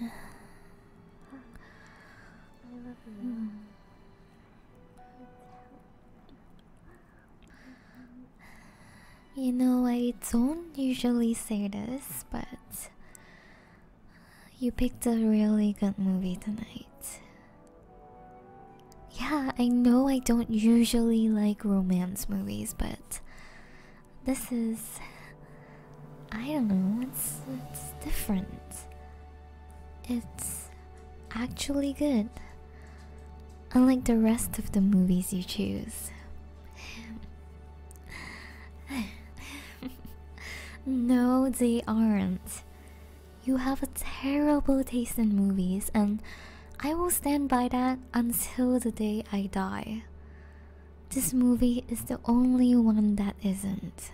you. You know, I don't usually say this, but you picked a really good movie tonight. Yeah, I know I don't usually like romance movies, but this is. I don't know, it's, it's different. It's actually good. Unlike the rest of the movies you choose. no, they aren't. You have a terrible taste in movies, and I will stand by that until the day I die. This movie is the only one that isn't.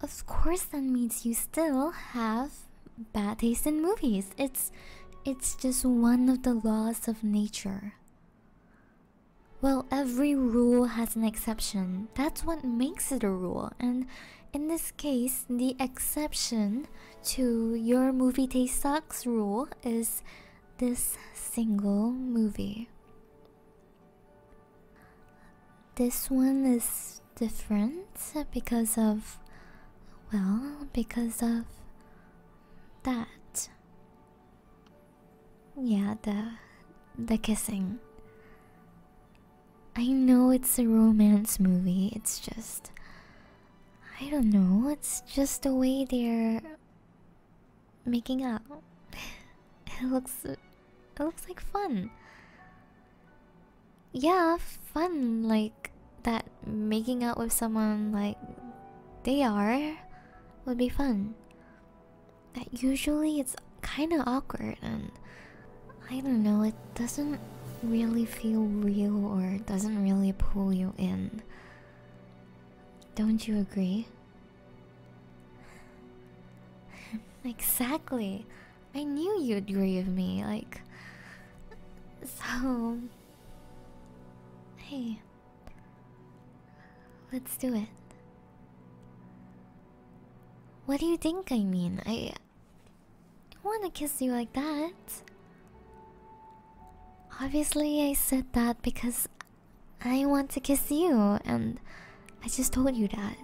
Of course that means you still have bad taste in movies. It's it's just one of the laws of nature. Well, every rule has an exception. That's what makes it a rule. And in this case, the exception to your movie taste sucks rule is this single movie. This one is different because of, well, because of that. Yeah, the the kissing. I know it's a romance movie. It's just I don't know, it's just the way they're making out. It looks it looks like fun. Yeah, fun like that making out with someone like they are would be fun. That usually it's kind of awkward and I don't know, it doesn't really feel real or doesn't really pull you in. Don't you agree? exactly. I knew you'd agree with me. Like, so. Hey. Let's do it. What do you think I mean? I. want to kiss you like that. Obviously, I said that because I want to kiss you, and I just told you that.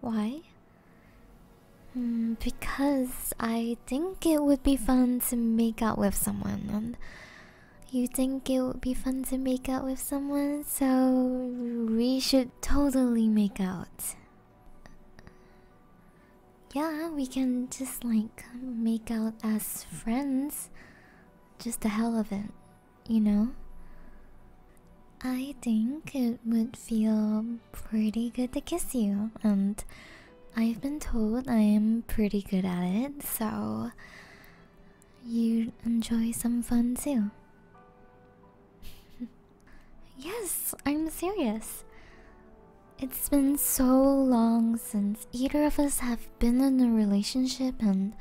Why? Hmm, because I think it would be fun to make out with someone, and you think it would be fun to make out with someone, so we should totally make out. Yeah, we can just like make out as friends. Just a hell of it, you know? I think it would feel pretty good to kiss you, and I've been told I am pretty good at it, so you enjoy some fun too. Yes, I'm serious. It's been so long since either of us have been in a relationship, and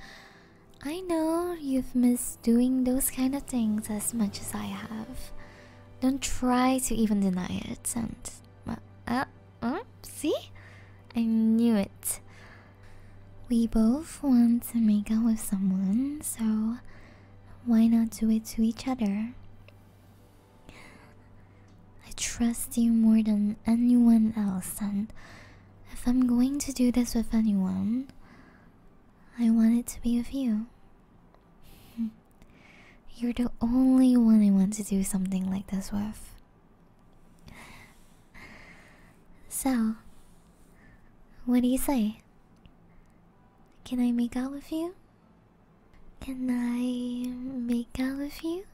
I know you've missed doing those kind of things as much as I have. Don't try to even deny it, and. Uh, uh, see? I knew it. We both want to make out with someone, so why not do it to each other? I trust you more than anyone else, and if I'm going to do this with anyone, I want it to be with you. You're the only one I want to do something like this with. So, what do you say? Can I make out with you? Can I make out with you?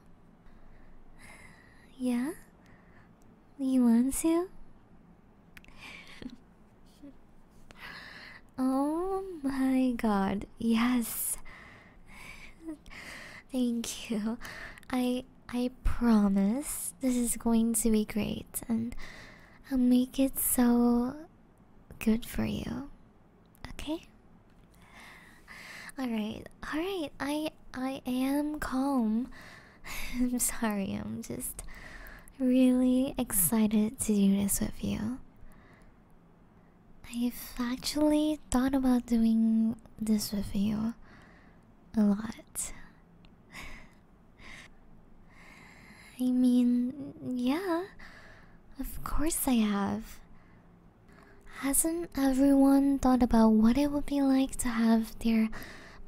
Yeah? You want to? oh my god, yes. Thank you. I I promise this is going to be great and I'll make it so good for you. Okay. All right. All right. I I am calm. I'm sorry. I'm just really excited to do this with you. I've actually thought about doing this with you a lot. I mean, yeah, of course I have. Hasn't everyone thought about what it would be like to have their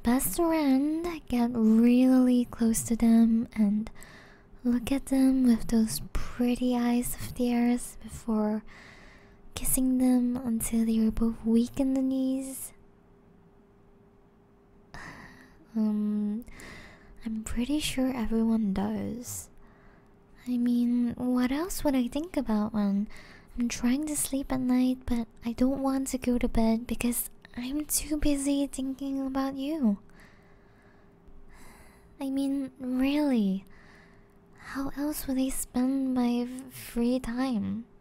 best friend get really close to them and look at them with those pretty eyes of theirs before kissing them until they were both weak in the knees? Um, I'm pretty sure everyone does. I mean, what else would I think about when I'm trying to sleep at night, but I don't want to go to bed because I'm too busy thinking about you? I mean, really? How else would I spend my free time?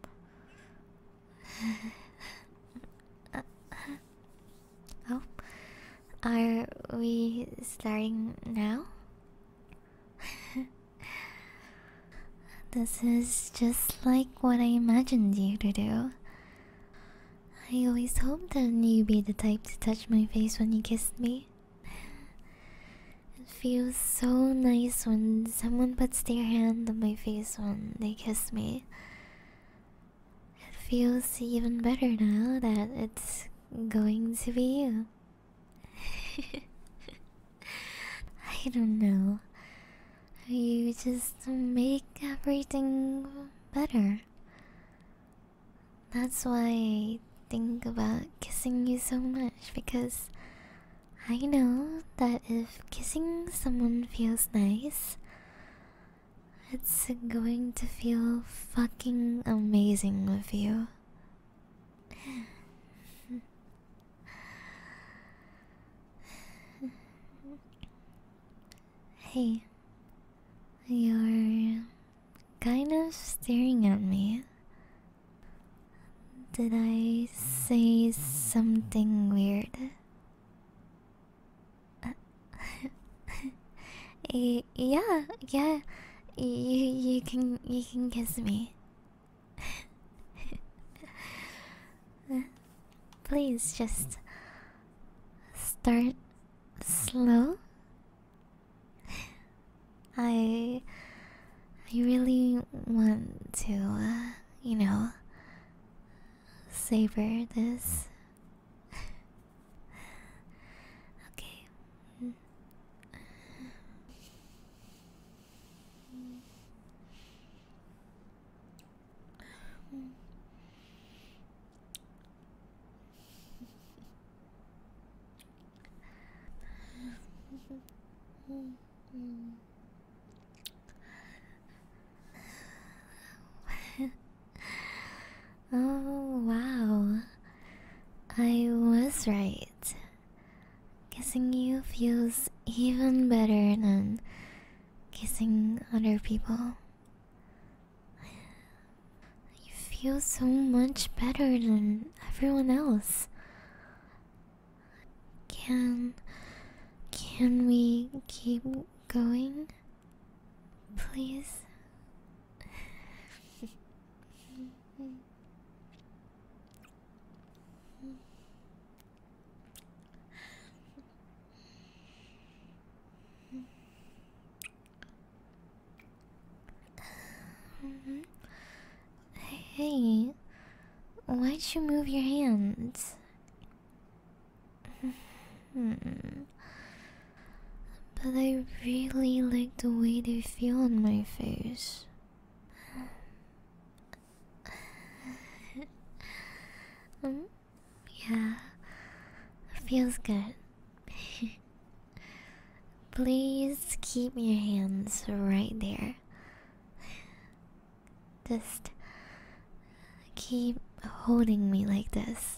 Uh, Oh, are we starting now? this is just like what I imagined you to do. I always hoped that you'd be the type to touch my face when you kissed me. It feels so nice when someone puts their hand on my face when they kiss me. It feels even better now that it's going to be you. I don't know. You just make everything better. That's why I think about kissing you so much because I know that if kissing someone feels nice, it's going to feel fucking amazing with you. hey, you're kind of staring at me. Did I say something weird? yeah, yeah. You you can you can kiss me. Please just start slow. I I really want to, uh, you know, savor this okay. Mm. Mm. Oh, wow. I was right. Kissing you feels even better than kissing other people. You feel so much better than everyone else. Can can we keep going, please? Hey, why'd you move your hands? Hmm. but I really like the way they feel on my face. Um, yeah, feels good. Please keep your hands right there. Just keep holding me like this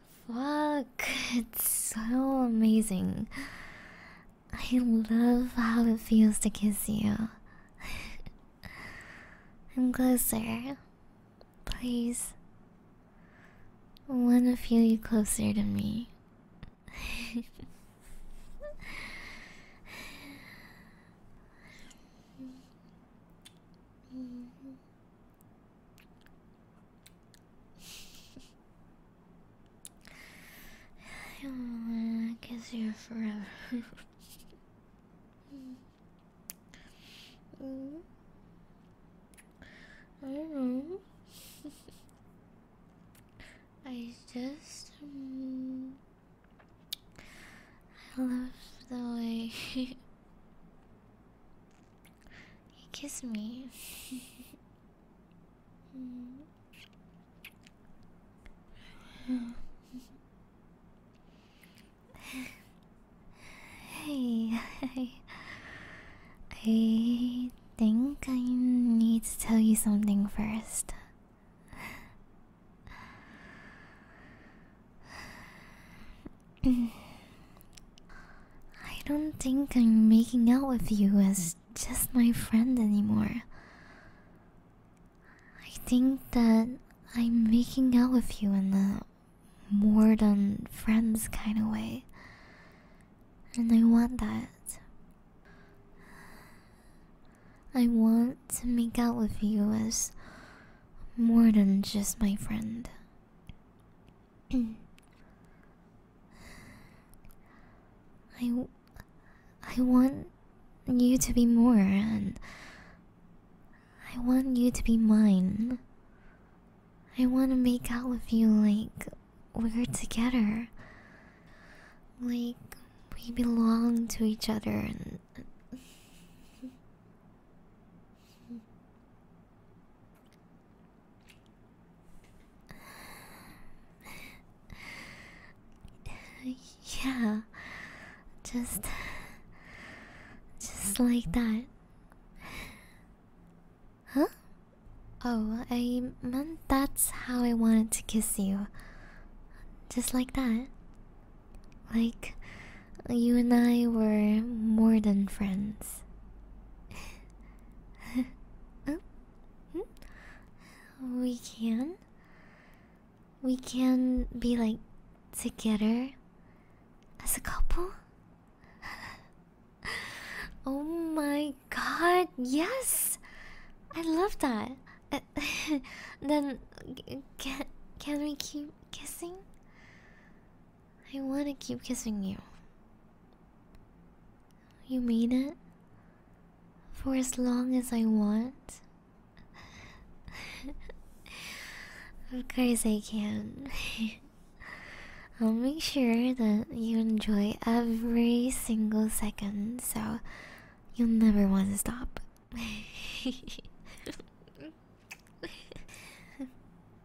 Fuck, it's so amazing. I love how it feels to kiss you. I'm closer. Please. I want to feel you closer to me. I wanna kiss you forever. Mm-hmm. I don't know. I just mm, I love the way He kissed me. hey, I, I think I need to tell you something first. I don't think I'm making out with you as just my friend anymore. I think that I'm making out with you in the more than friends kind of way. And I want that. I want to make out with you as more than just my friend. I, I want you to be more, and I want you to be mine. I want to make out with you like we're together. Like we belong to each other and. yeah, just, just like that. Huh? Oh, I meant that's how I wanted to kiss you. Just like that. Like, you and I were more than friends. we can. We can be like together as a couple. oh my god, yes! I love that. Uh, then can, can we keep kissing? I want to keep kissing you. You mean it? For as long as I want? of course I can. I'll make sure that you enjoy every single second so you'll never want to stop.